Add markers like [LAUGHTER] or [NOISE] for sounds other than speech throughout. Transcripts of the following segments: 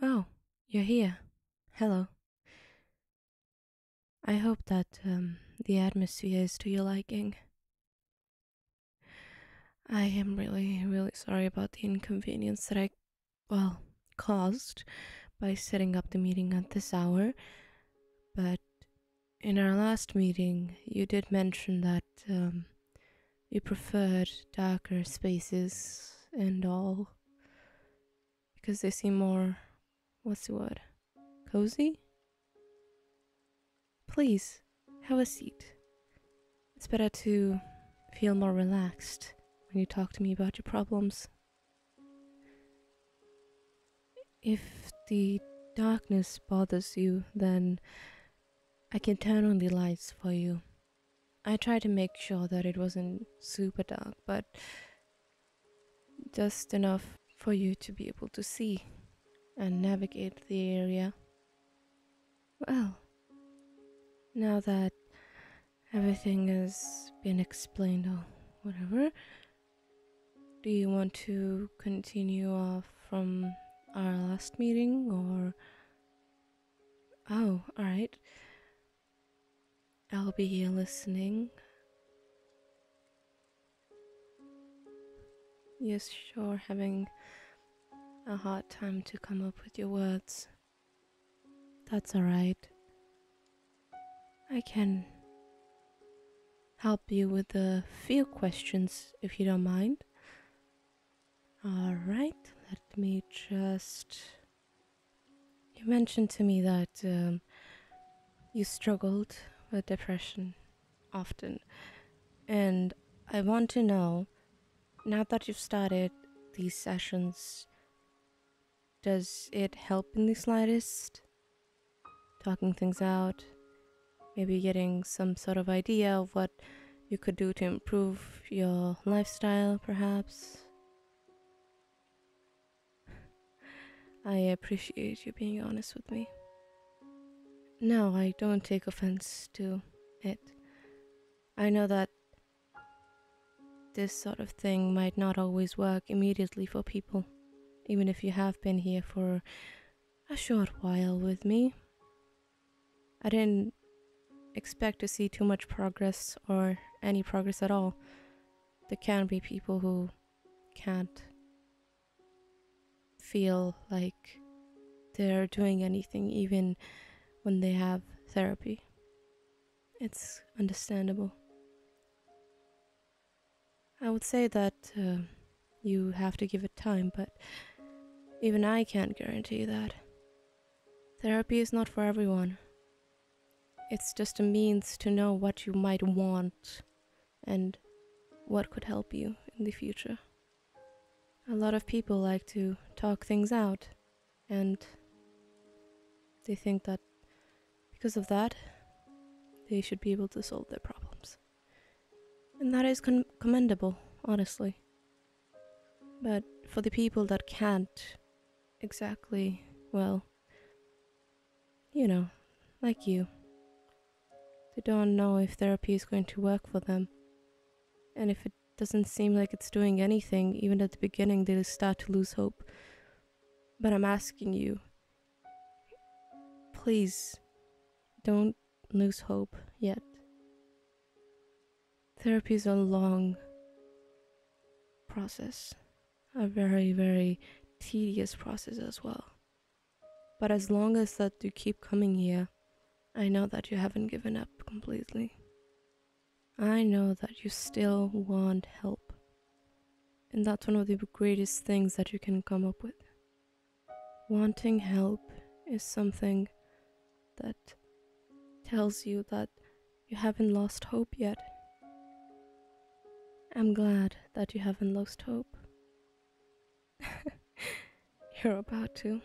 Oh, you're here. Hello. I hope that um, the atmosphere is to your liking. I am really, really sorry about the inconvenience that I, well, caused by setting up the meeting at this hour. But in our last meeting, you did mention that um, you preferred darker spaces and all because they seem more what's the word? Cozy? Please, have a seat. It's better to feel more relaxed when you talk to me about your problems. If the darkness bothers you, then I can turn on the lights for you. I tried to make sure that it wasn't super dark, but just enough for you to be able to see and navigate the area. Well, now that everything has been explained or whatever, do you want to continue off from our last meeting or Oh, alright. I'll be here listening. You're sure having a hard time to come up with your words. That's alright. I can help you with a few questions if you don't mind. All right, let me just. You mentioned to me that um, you struggled with depression often, and I want to know now that you've started these sessions, does it help in the slightest? Talking things out, maybe getting some sort of idea of what you could do to improve your lifestyle, perhaps. I appreciate you being honest with me. No, I don't take offense to it. I know that this sort of thing might not always work immediately for people, even if you have been here for a short while with me. I didn't expect to see too much progress or any progress at all. There can be people who can't feel like they're doing anything even when they have therapy. It's understandable. I would say that uh, you have to give it time, but even I can't guarantee that. Therapy is not for everyone. It's just a means to know what you might want and what could help you in the future. A lot of people like to talk things out, and they think that because of that, they should be able to solve their problems. And that is commendable, honestly. But for the people that can't exactly, well, you know, like you, they don't know if therapy is going to work for them. And if it doesn't seem like it's doing anything, even at the beginning, they start to lose hope. But I'm asking you, please don't lose hope yet therapy is a long process, a very, very tedious process as well. But as long as that you keep coming here, I know that you haven't given up completely. I know that you still want help. And that's one of the greatest things that you can come up with. Wanting help is something that tells you that you haven't lost hope yet. I'm glad that you haven't lost hope. [LAUGHS] You're about to.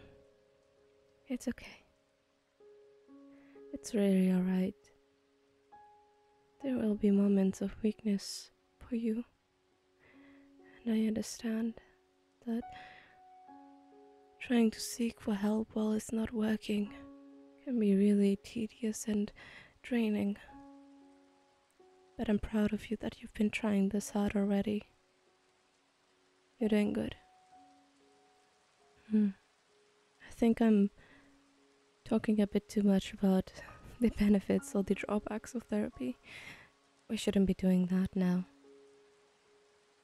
It's okay. It's really alright. There will be moments of weakness for you, and I understand that Trying to seek for help while it's not working can be really tedious and draining. But I'm proud of you that you've been trying this hard already. You're doing good. Hmm. I think I'm talking a bit too much about [LAUGHS] the benefits or the drawbacks of therapy. We shouldn't be doing that now.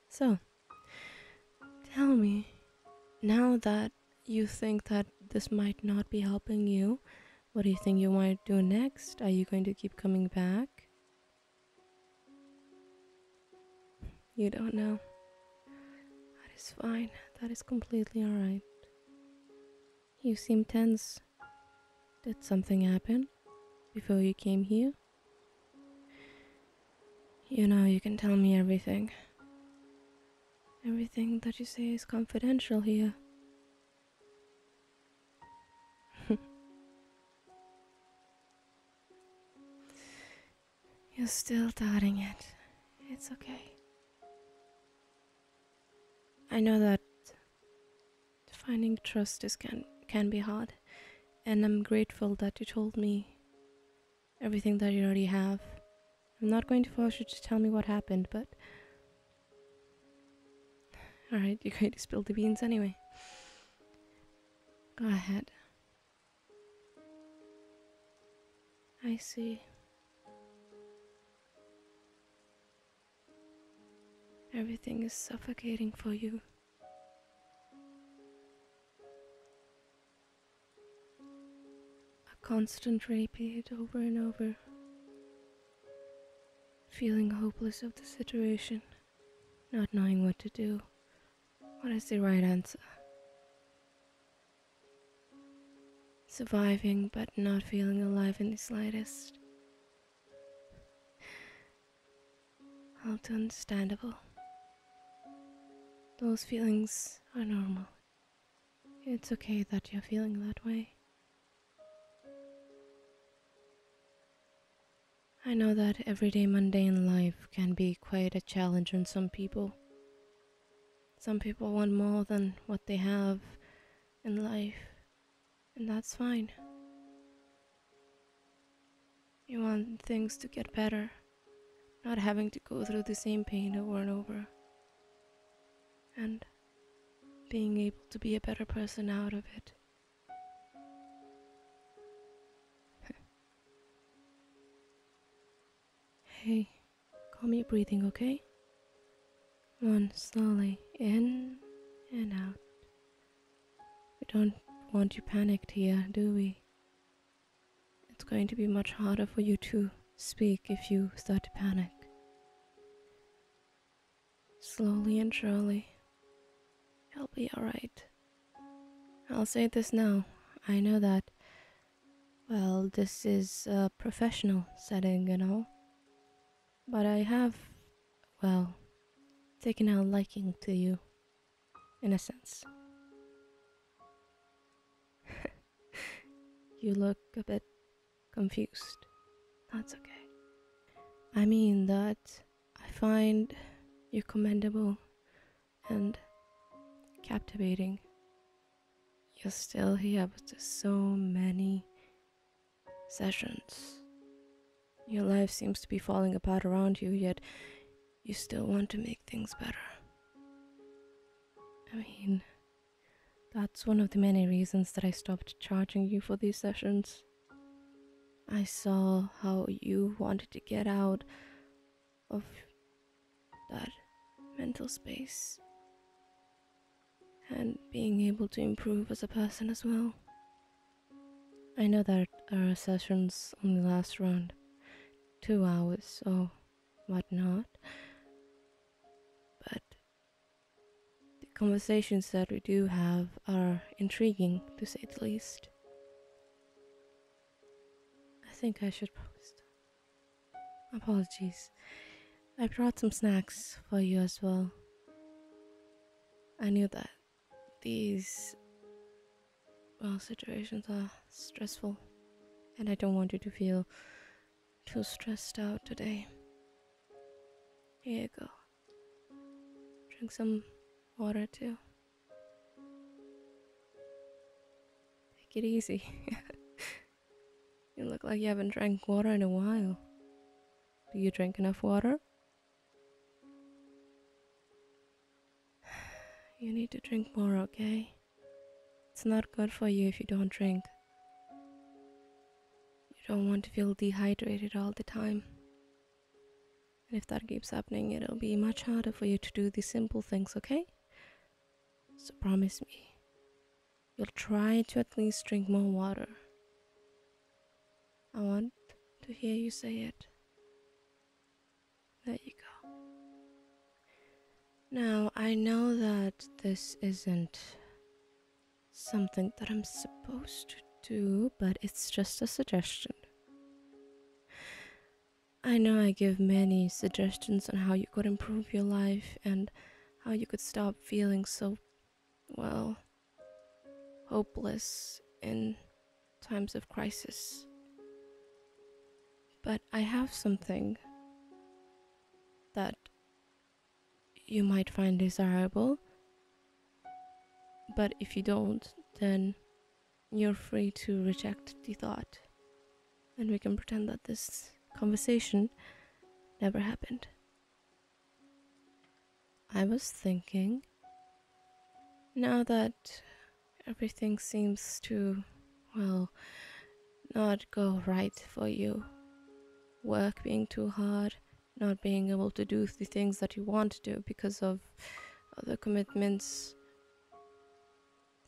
So, Tell me, now that you think that this might not be helping you, what do you think you might do next? Are you going to keep coming back? You don't know. That is fine. That is completely alright. You seem tense. Did something happen before you came here? You know, you can tell me everything. Everything that you say is confidential here. [LAUGHS] You're still doubting it. It's okay. I know that finding trust is can can be hard, and I'm grateful that you told me everything that you already have. I'm not going to force you to tell me what happened, but. Alright, you're going to spill the beans anyway. Go ahead. I see. Everything is suffocating for you. A constant repeat over and over, feeling hopeless of the situation, not knowing what to do. What is the right answer? Surviving but not feeling alive in the slightest all understandable. Those feelings are normal. It's okay that you're feeling that way. I know that everyday mundane life can be quite a challenge for some people. Some people want more than what they have in life, and that's fine. You want things to get better, not having to go through the same pain over and over, and being able to be a better person out of it. [LAUGHS] hey, call me breathing, okay? One slowly in and out. We don't want you panicked here, do we? It's going to be much harder for you to speak if you start to panic. Slowly and surely, you'll be alright. I'll say this now. I know that, well, this is a professional setting you know. but I have, well, taken a liking to you in a sense. [LAUGHS] you look a bit confused. That's okay. I mean that I find you commendable and captivating. You're still here after so many sessions. Your life seems to be falling apart around you, yet you still want to make things better. I mean, that's one of the many reasons that I stopped charging you for these sessions. I saw how you wanted to get out of that mental space and being able to improve as a person as well. I know that our sessions on the last round two hours or whatnot. But the conversations that we do have are intriguing, to say the least. I think I should post. Apologies. I brought some snacks for you as well. I knew that these well, situations are stressful, and I don't want you to feel too stressed out today. Here you go. Drink some water too. Take it easy. [LAUGHS] you look like you haven't drank water in a while. Do you drink enough water? [SIGHS] You need to drink more, okay? It's not good for you if you don't drink. You don't want to feel dehydrated all the time. And if that keeps happening, it'll be much harder for you to do the simple things, okay? So promise me, you'll try to at least drink more water. I want to hear you say it. There you go. Now, I know that this isn't something that I'm supposed to do, but it's just a suggestion. I know I give many suggestions on how you could improve your life and how you could stop feeling so, well, hopeless and times of crisis. But I have something that you might find desirable. But if you don't, then you're free to reject the thought. And we can pretend that this conversation never happened. I was thinking, now that Everything seems to, well, not go right for you. Work being too hard, not being able to do the things that you want to do because of other commitments,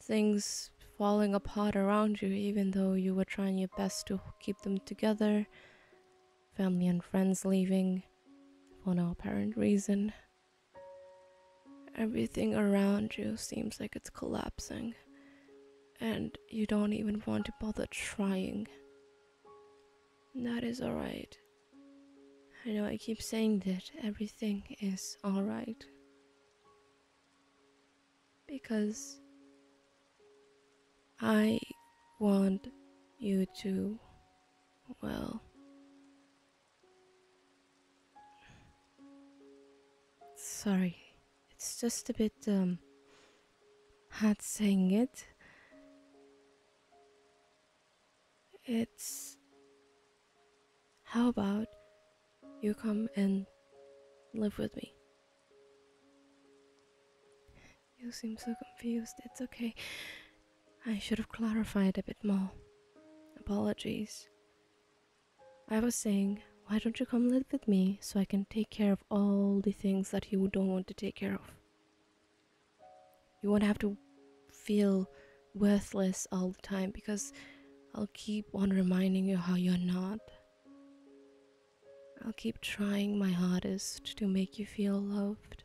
things falling apart around you, even though you were trying your best to keep them together, family and friends leaving for no apparent reason. Everything around you seems like it's collapsing, and you don't even want to bother trying. That is alright. I know I keep saying that everything is alright. Because I want you to, well, Sorry, it's just a bit um, hard saying it. It's. How about you come and live with me? You seem so confused. It's okay. I should have clarified a bit more. Apologies. I was saying, why don't you come live with me so I can take care of all the things that you don't want to take care of? You won't have to feel worthless all the time because I'll keep on reminding you how you're not. I'll keep trying my hardest to make you feel loved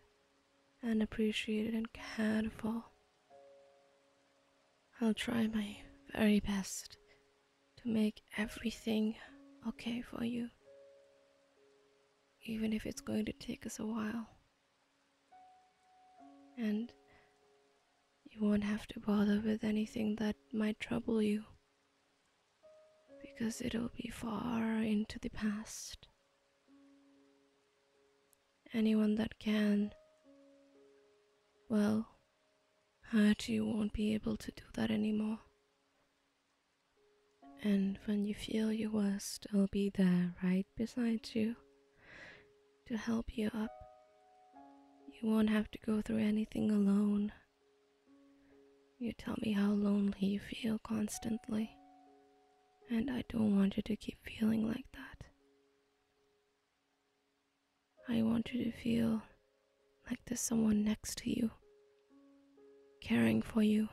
and appreciated and cared for. I'll try my very best to make everything okay for you, even if it's going to take us a while. And you won't have to bother with anything that might trouble you, because it'll be far into the past anyone that can, well, hurt you won't be able to do that anymore. And when you feel you will be there right beside you to help you up, you won't have to go through anything alone. You tell me how lonely you feel constantly, and I don't want you to keep feeling like that. I want you to feel like there's someone next to you, caring for you,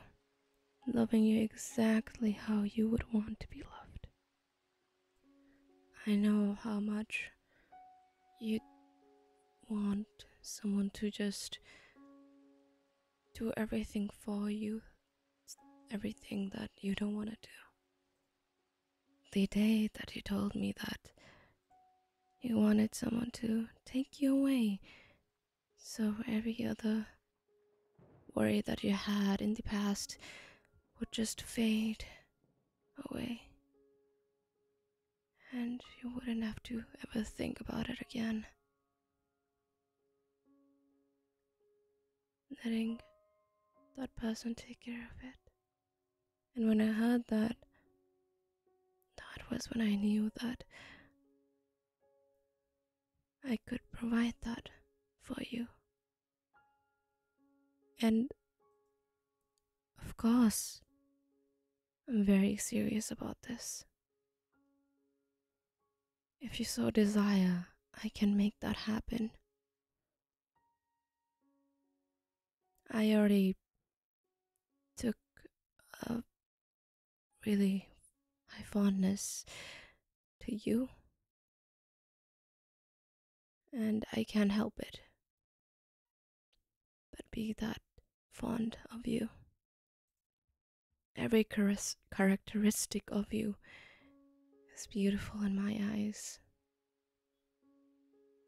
loving you exactly how you would want to be loved. I know how much you want someone to just do everything for you, everything that you don't want to do. The day that you told me that you wanted someone to take you away, so every other worry that you had in the past would just fade away, and you wouldn't have to ever think about it again letting that person take care of it. And when I heard that, that was when I knew that I could provide that for you. And of course, I'm very serious about this. If you so desire, I can make that happen. I already took a really high fondness to you, and I can't help it but be that fond of you. Every characteristic of you is beautiful in my eyes,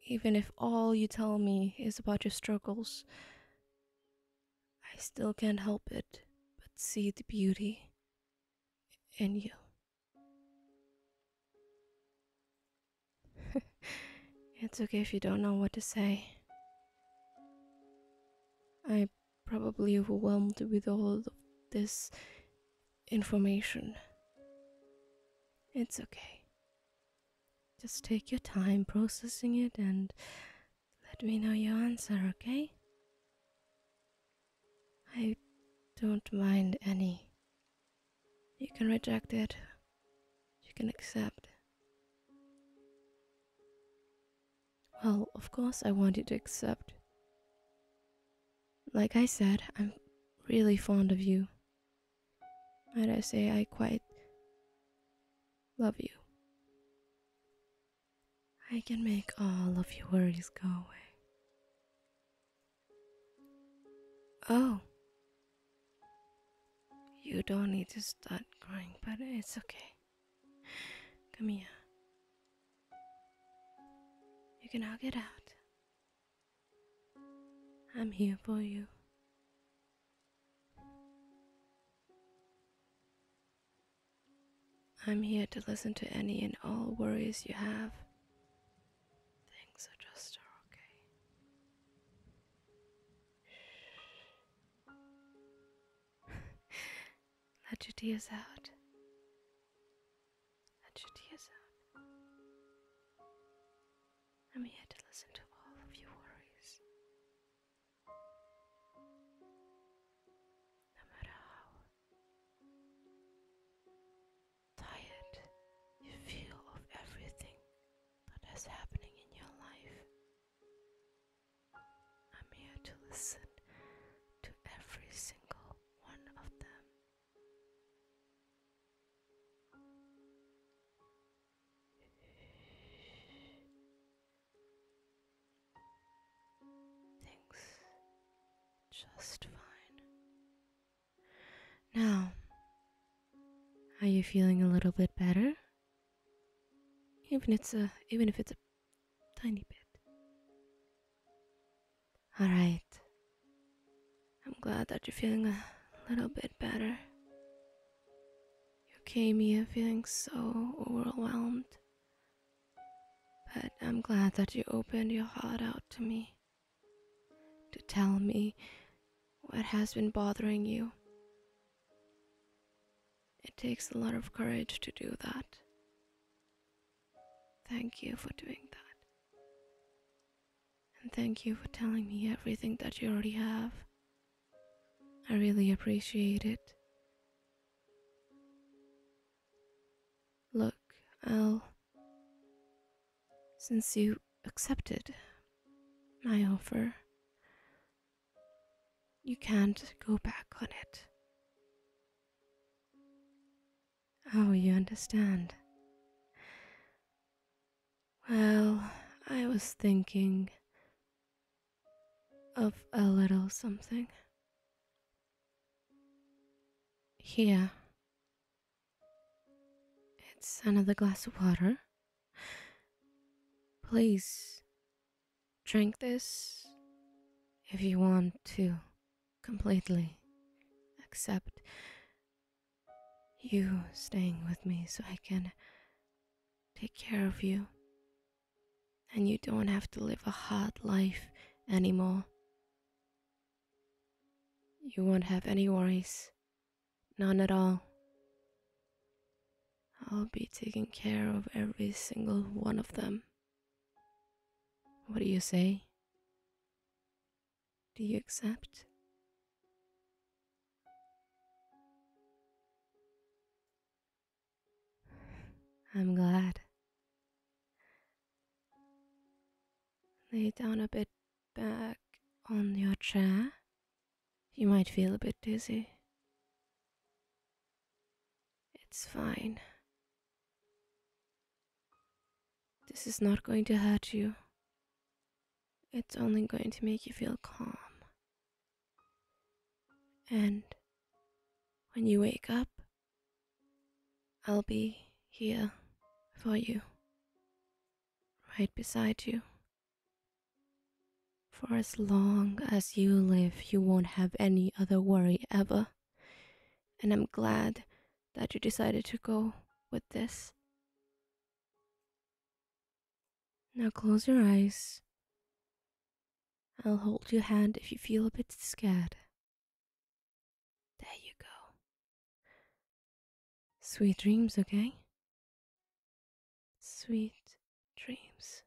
even if all you tell me is about your struggles, I still can't help it but see the beauty in you. [LAUGHS] it's okay if you don't know what to say. I'm probably overwhelmed with all of this information. It's okay. Just take your time processing it and let me know your answer, okay? I don't mind any. You can reject it, you can accept. Well, of course, I want you to accept. Like I said, I'm really fond of you. Might I say, I quite love you. I can make all of your worries go away. Oh. You don't need to start crying, but it's okay. Come here. You can all get out. I'm here for you. I'm here to listen to any and all worries you have. Things are just okay. [LAUGHS] Let your tears out and Judaism. I'm here to listen to all of your worries. No matter how tired you feel of everything that is happening in your life, I'm here to listen to every single one of them. Things just fine. Now, are you feeling a little bit better? Even it's a even if it's a tiny bit. All right. I'm glad that you're feeling a little bit better. You came here feeling so overwhelmed. But I'm glad that you opened your heart out to me to tell me what has been bothering you. It takes a lot of courage to do that. Thank you for doing that. And thank you for telling me everything that you already have. I really appreciate it. Look, I'll. Since you accepted my offer, you can't go back on it. Oh, you understand. Well, I was thinking of a little something. Here. It's another glass of water. Please drink this if you want to completely, except you staying with me so I can take care of you. And you don't have to live a hard life anymore. You won't have any worries, none at all. I'll be taking care of every single one of them. What do you say? Do you accept? I'm glad. Lay down a bit back on your chair. You might feel a bit dizzy. It's fine. This is not going to hurt you. It's only going to make you feel calm. And when you wake up, I'll be here for you, right beside you. For as long as you live, you won't have any other worry ever. And I'm glad that you decided to go with this. Now close your eyes. I'll hold your hand if you feel a bit scared. There you go. Sweet dreams, okay? Sweet dreams.